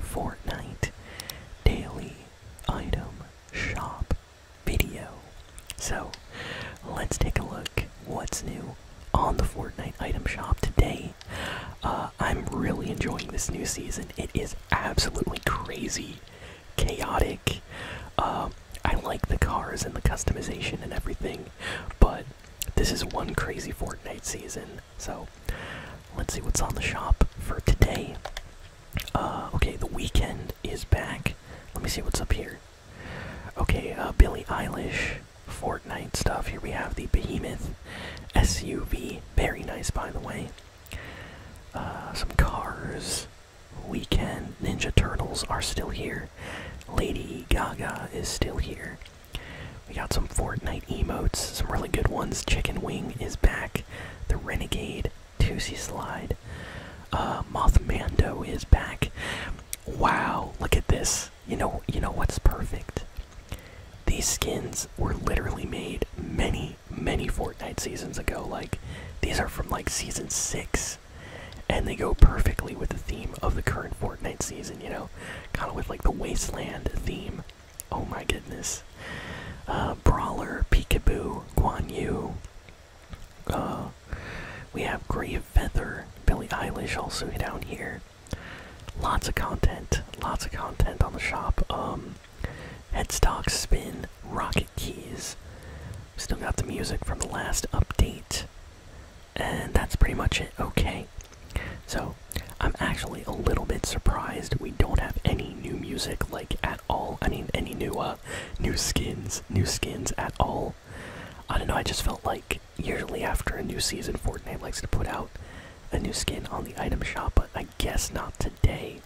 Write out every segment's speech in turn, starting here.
Fortnite daily item shop video. So let's take a look what's new on the Fortnite item shop today. Uh, I'm really enjoying this new season. It is absolutely crazy, chaotic. Um, I like the cars and the customization and everything, but this is one crazy Fortnite season so let's see what's on the shop for today. Uh, okay, the weekend is back. Let me see what's up here. Okay, uh, Billy Eilish, Fortnite stuff. Here we have the Behemoth SUV. Very nice, by the way. Uh, some cars. Weekend. Ninja Turtles are still here. Lady Gaga is still here. We got some Fortnite emotes, some really good ones. Chicken Wing is back the Renegade, Toosie Slide. Uh, Mothmando is back. Wow, look at this. You know, you know what's perfect. These skins were literally made many, many Fortnite seasons ago. Like, these are from like season six, and they go perfectly with the theme of the current Fortnite season. You know, kind of with like the wasteland theme. Oh my goodness. Uh, Brawler, Peekaboo, Guan Yu. Uh, we have Grave Feather, Billie Eilish also down here. Lots of content, lots of content on the shop. Um, Headstock Spin, Rocket Keys. Still got the music from the last update. And that's pretty much it. Okay. So, I'm actually a little bit surprised we don't have any new music like at all. I mean, any new uh new skins, new skins at all. I don't know, I just felt like usually after a new season Fortnite likes to put out a new skin on the item shop, but I guess not today.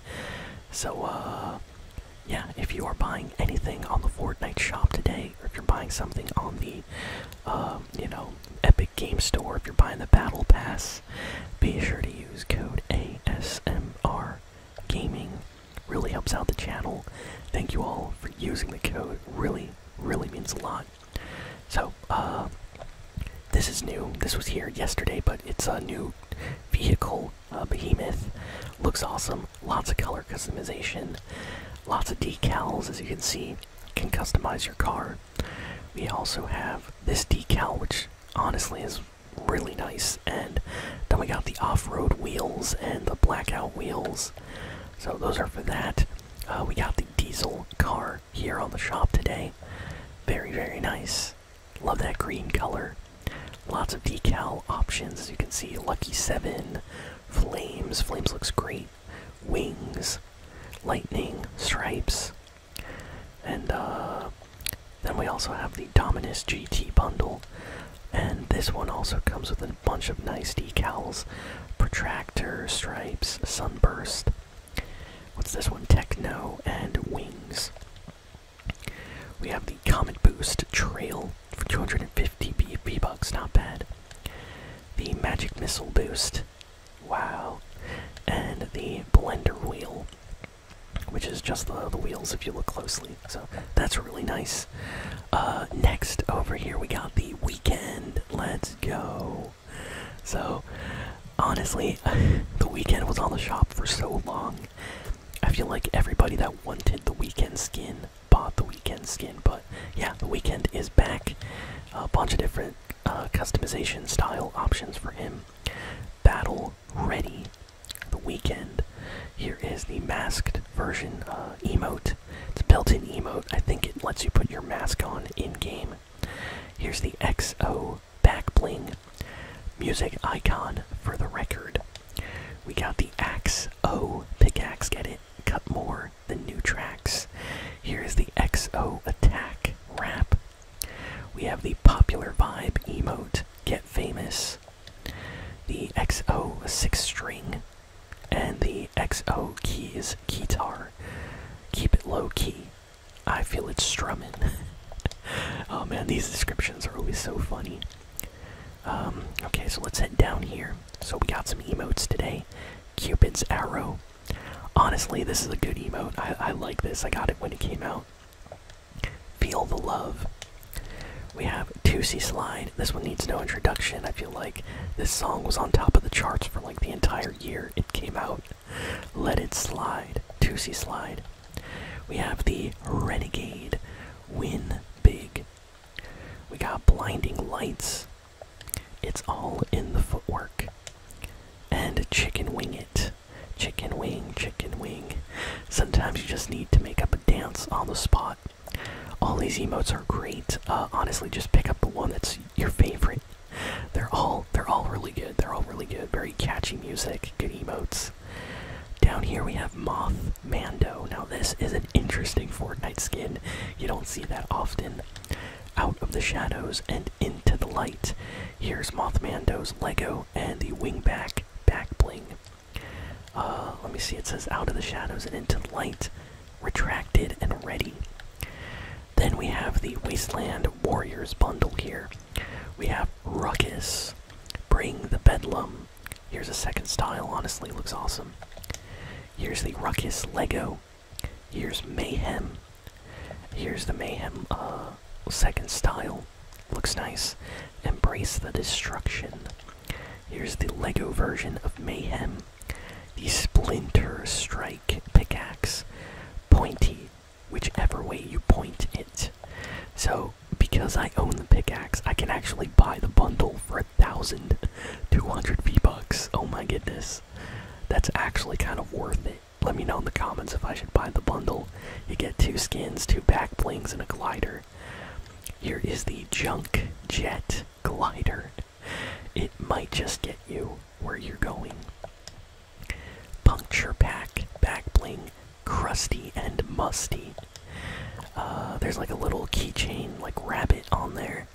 So uh yeah, if you are buying anything on the Fortnite shop today, or if you're buying something on the, um, you know, Epic Game Store if you're buying the Battle Pass. Be sure to use code ASMR Gaming. Really helps out the channel. Thank you all for using the code. Really, really means a lot. So, uh, this is new. This was here yesterday, but it's a new vehicle, uh, behemoth. Looks awesome. Lots of color customization. Lots of decals, as you can see. Can customize your car. We also have this decal, which honestly is really nice, and then we got the off-road wheels and the blackout wheels. So those are for that. Uh, we got the diesel car here on the shop today. Very very nice. Love that green color. Lots of decal options, as you can see. Lucky seven, flames. Flames looks great. Wings, lightning, stripes. And uh, then we also have the Dominus GT bundle, and this one also comes with a bunch of nice decals, protractor, stripes, sunburst. What's this one? Techno and wings. We have the Comet Boost Trail for 250 BP B bucks, not bad. The Magic Missile Boost Wow. And the blender wheel, which is just the, the wheels if you look closely. So that's really nice. Uh, next, over here, we got the weekend. Let's go. So, honestly, the weekend was on the shop for so long. I feel like everybody that wanted the weekend skin bought the weekend skin, but yeah, the weekend is back. A bunch of different uh, customization style options for him. Battle ready. The weekend. Here is the masked version uh, emote. It's a built-in emote. I think it lets you put your mask on in game. Here's the XO back bling. Music icon for the record. We got the Axe O pickaxe. Get it? Cut more the new tracks. Here is the XO Attack rap. We have the popular vibe emote, Get Famous, the XO Six String, and the XO Keys Guitar. Keep it low key. I feel it strumming. oh man, these descriptions are always so funny. Um, okay, so let's head down here. So we got some emotes today. Cupid's Arrow. Honestly, this is a good emote. I, like this. I got it when it came out. Feel the Love. We have 2C Slide. This one needs no introduction. I feel like this song was on top of the charts for like the entire year it came out. Let It Slide. 2C Slide. We have the Renegade. Win Big. We got Blinding Lights. It's all in the footwork. And chicken wing it. Chicken wing, chicken wing. Sometimes you just need to make up a dance on the spot. All these emotes are great. Uh, honestly, just pick up the one that's your favorite. They're all they're all really good. They're all really good. Very catchy music, good emotes. Down here we have Moth Mando. Now this is a interesting Fortnite skin. You don't see that often. Out of the shadows and into the light. Here's Mothmando's Lego and the wingback back bling. Uh, let me see, it says out of the shadows and into the light, retracted and ready. Then we have the Wasteland Warriors bundle here. We have Ruckus, Bring the Bedlam. Here's a second style, honestly, looks awesome. Here's the Ruckus Lego Here's Mayhem. Here's the Mayhem uh, second style. Looks nice. Embrace the Destruction. Here's the Lego version of Mayhem. The Splinter Strike pickaxe. Pointy, whichever way you point it. So, because I own the pickaxe, I can actually buy the bundle for a thousand. 200 V-Bucks. Oh my goodness. That's actually kind of worth it. Let me know in the comments if I should buy the bundle. You get two skins, two back blings, and a glider. Here is the Junk Jet Glider. It might just get you where you're going. Puncture Pack, Back Bling, Crusty and Musty. Uh, there's like a little keychain, like rabbit on there.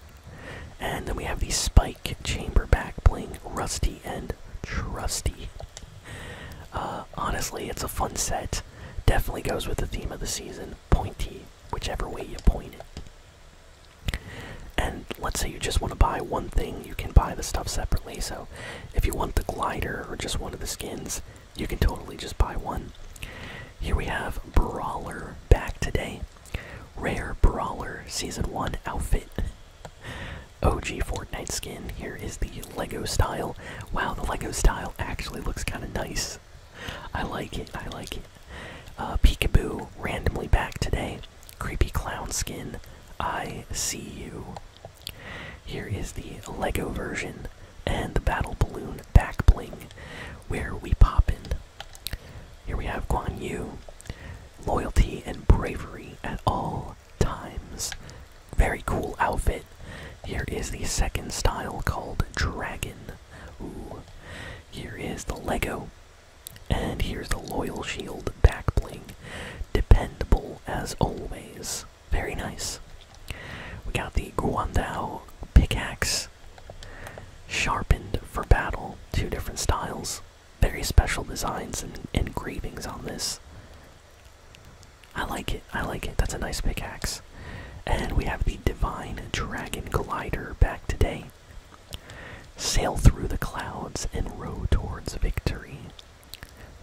And then we have the Spike Chamber back playing Rusty and Trusty. Uh, honestly, it's a fun set. Definitely goes with the theme of the season, pointy, whichever way you point it. And let's say you just want to buy one thing, you can buy the stuff separately. So if you want the glider or just one of the skins, you can totally just buy one. Here we have Brawler back today. Rare Brawler Season 1 outfit. OG Fortnite skin. Here is the Lego style. Wow, the Lego style actually looks kind of nice. I like it, I like it. Uh, Peekaboo randomly back today. Creepy Clown skin. I see you. Here is the Lego version and the Battle Balloon back bling where we pop in here we have Guan Yu. Loyalty and bravery at all times. Very cool outfit. Here is the second style called Dragon. Ooh. Here is the Lego. And here's the Loyal Shield back bling. Dependable as always. Very nice. We got the Guandao pickaxe Sharpened for battle, two different styles. Very special designs and engravings on this. I like it, I like it. That's a nice pickaxe. And we have the Divine Dragon Glider back today. Sail through the clouds and row towards victory.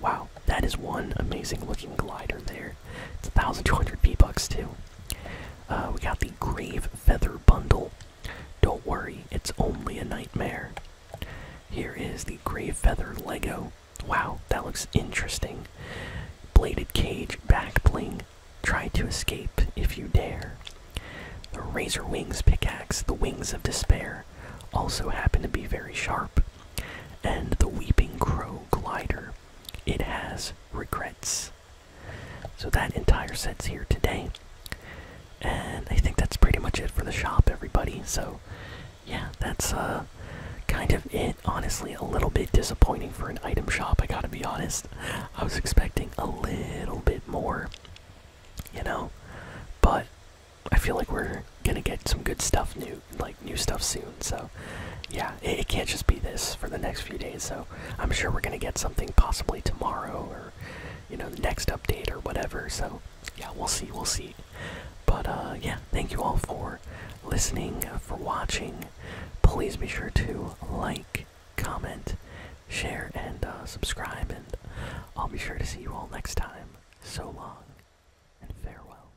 Wow, that is one amazing looking glider there. It's 1,200 B-Bucks too. Uh, we got the Grave Feather Bundle. Don't worry, it's only a nightmare. Here is the Grave Feather Lego. Wow, that looks interesting. Bladed Cage Back Bling. Try to escape if you dare. The Razor Wings Pickaxe, the Wings of Despair, also happen to be very sharp. And the Weeping Crow Glider. It has regrets. So that entire set's here today. And I think that's pretty much it for the shop, everybody. So, yeah, that's uh, kind of it. Honestly, a little bit disappointing for an item shop, I gotta be honest. I was expecting a little bit more, you know? But I feel like we're gonna get some good stuff new, like new stuff soon, so yeah, it, can't just be this for the next few days. So, I'm sure we're going to get something possibly tomorrow or, you know, the next update or whatever. So, yeah, we'll see. We'll see. But, uh, yeah, thank you all for listening, for watching. Please be sure to like, comment, share, and uh, subscribe. And I'll be sure to see you all next time. So long and farewell.